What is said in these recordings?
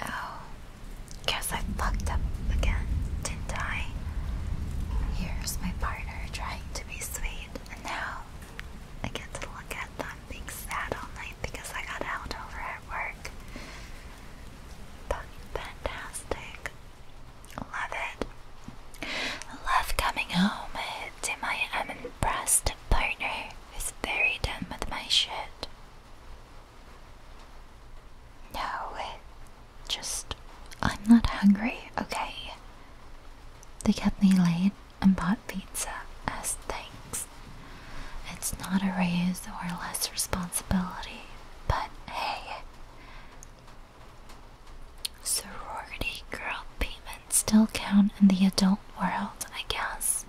Oh, guess I fucked up again, didn't I? Here's my partner trying to be sweet, and now I get to look at them being sad all night because I got out over at work. Fucking fantastic. Love it. Love coming home eh, to my impressed partner who's very done with my shit. No, just. I'm not hungry, okay? They kept me late and bought pizza as thanks. It's not a raise or less responsibility, but hey. Sorority girl payments still count in the adult world, I guess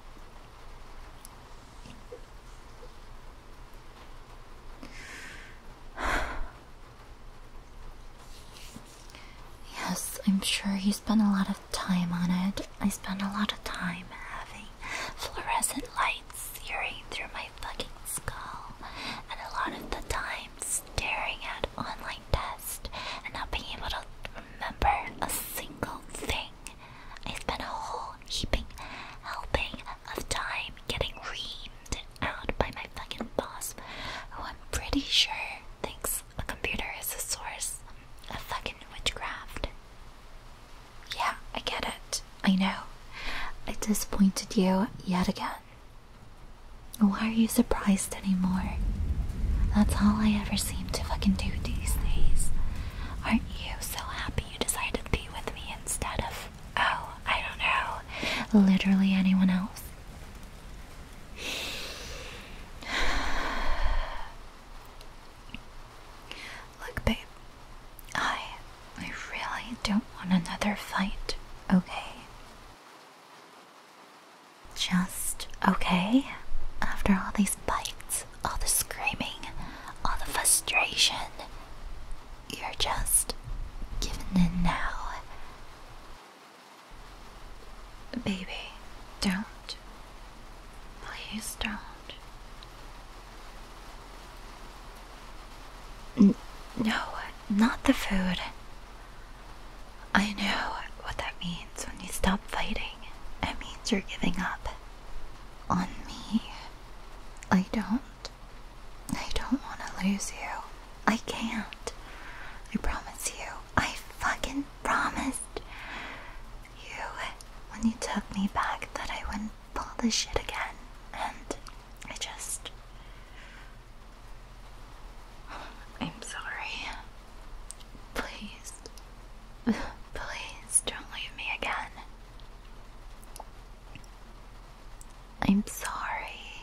yes, I'm sure you spent a lot of time on it. I spent a lot of time having fluorescent lights searing through my fucking skull, and a lot of the time staring at online tests and not being able to remember a single thing. I spent a whole heaping helping of time getting reamed out by my fucking boss, who I'm pretty sure thinks a computer is a source of fucking witchcraft. Yeah, I get it. I know. I disappointed you yet again. Why are you surprised anymore? That's all I ever see to fucking do these days. Aren't you so happy you decided to be with me instead of, oh, I don't know, literally anyone else? Look, babe, I, I really don't want another fight, okay? just okay after all these bites, all the screaming, all the frustration. You're just giving in now. Baby, don't. Please don't. no, not the food. I know what that means when you stop fighting. It means you're giving up on me. I don't. I don't want to lose you. I can't. I promise you. I fucking promised you when you took me back that I wouldn't pull this shit again. And I just. I'm sorry. Please, please don't leave me again. I'm sorry.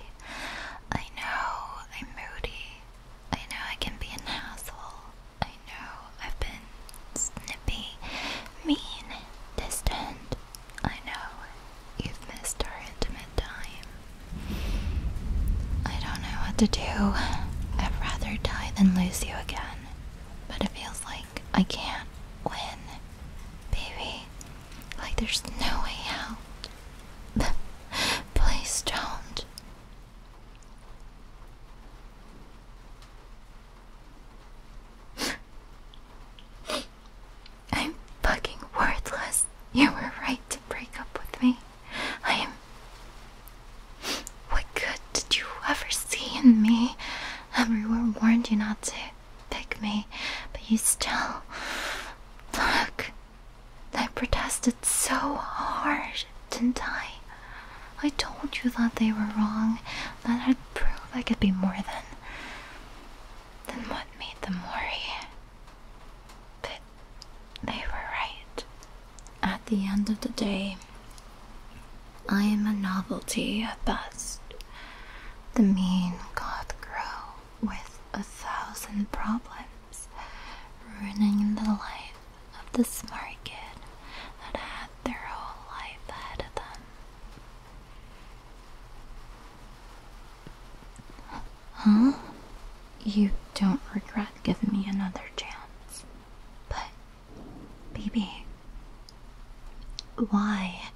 I know I'm moody. I know I can be a asshole. I know I've been snippy, mean, distant. I know you've missed our intimate time. I don't know what to do. I'd rather die than lose you again. But it feels like I can't win. Baby, like there's no way out. Please don't. I'm fucking worthless. You were right to break up with me. I'm. What good did you ever see in me? Everyone warned you not to pick me, but you still. Look. I protested so hard, didn't I? I told you that they were wrong, that I'd prove I could be more than. Then what made them worry? they were right. At the end of the day, I am a novelty at best. The mean got grow with a thousand problems, ruining the life of this smart kid that had their whole life ahead of them. Huh? You don't regret giving me another chance. But, baby, why?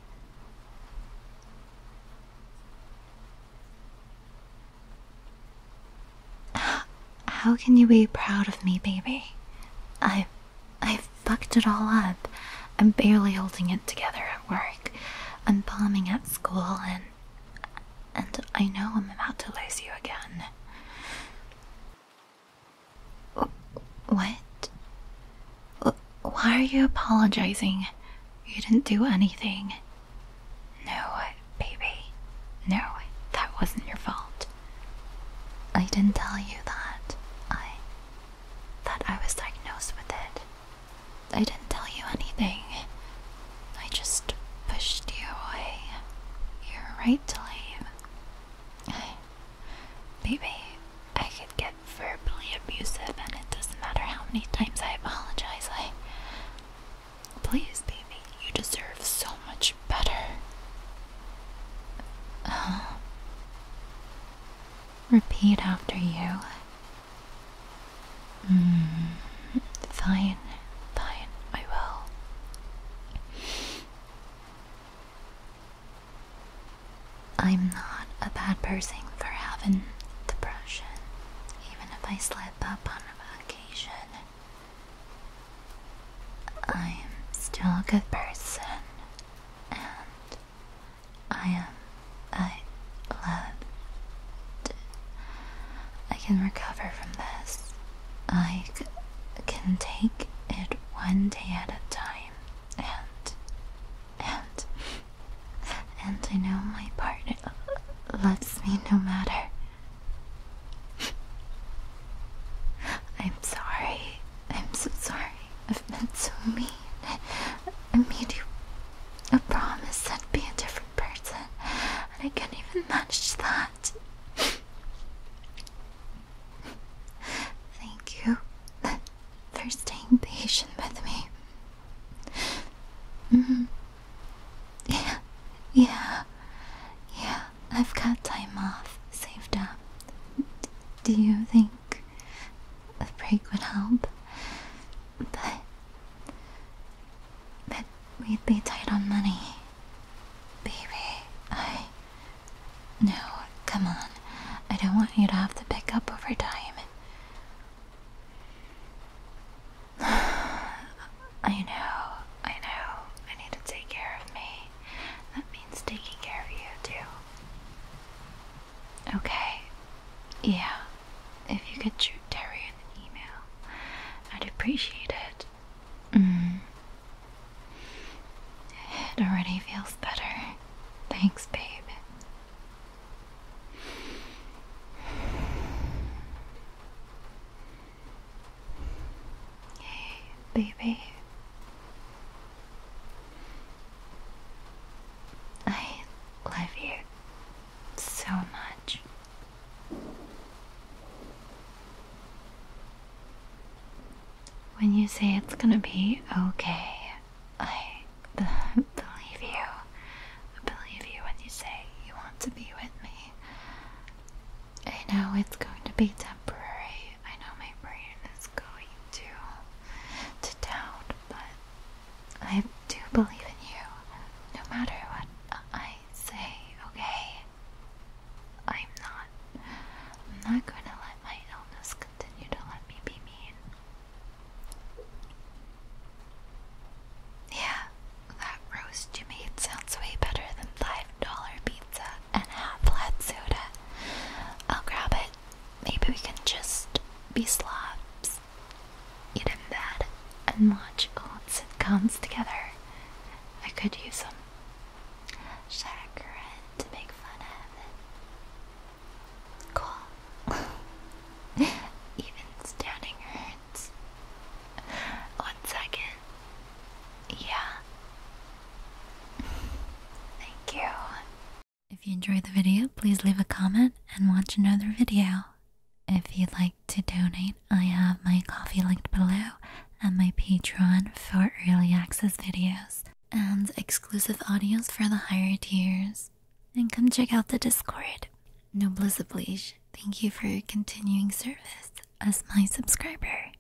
How can you be proud of me, baby? I, I fucked it all up. I'm barely holding it together at work. I'm bombing at school and and I know I'm about to lose you again. What? Why are you apologizing? You didn't do anything. No, baby. No, that wasn't your fault. I didn't tell you that. I. that I was diagnosed with it. I didn't tell you anything. I just pushed you away. You're right to leave. I, I could get verbally abusive, and it doesn't matter how many times I apologize. I. Please, baby, you deserve so much better. Uh-huh. repeat after you. Mm, fine, fine, I will. I'm not a bad person for having depression, even if I slip up on occasion. I'm still a good person, and I am. Um, I love. I can recover from this. I can take it one day at a time. And. And. And I know my partner loves me no matter. I'm sorry. I'm so sorry. I've been so mean. I made you a promise I'd be a different person, and I can't even manage that. Thank you for staying patient with me. Mm -hmm. Yeah, yeah, yeah. I've got time off saved up. do you think a break would help, but but we'd be tight on money. Baby, I no, come on. I don't want you to have to pick up overtime. I know, I know. I need to take care of me. That means taking care of you too. Okay. Yeah. If you could shoot Terry an email, I'd appreciate it. Mm. It already feels better. Thanks, babe. Hey, baby. I love you so much. When you say it's gonna be okay, I believe you. I believe you when you say you want to be with me. I know it's going to be temporary, I know my brain is going to to doubt, but I do believe in you, no matter what I say. Okay, I'm not. I'm not going to let my illness continue to let me be mean. Yeah, that roast you made sounds way better than $5 pizza and hot flat soda. I'll grab it. Maybe we can just be slobs, eat in bed, and watch old sitcoms together. I could use some Chagrin to make fun of. Cool. Even standing hurts. One second. Yeah. Thank you. If you enjoyed the video, please leave a comment and watch another video. If you'd like to donate, I have my coffee linked below and my Patreon for early access videos and exclusive audios for the higher tiers. And come check out the Discord. Noblesse oblige, thank you for your continuing service as my subscriber.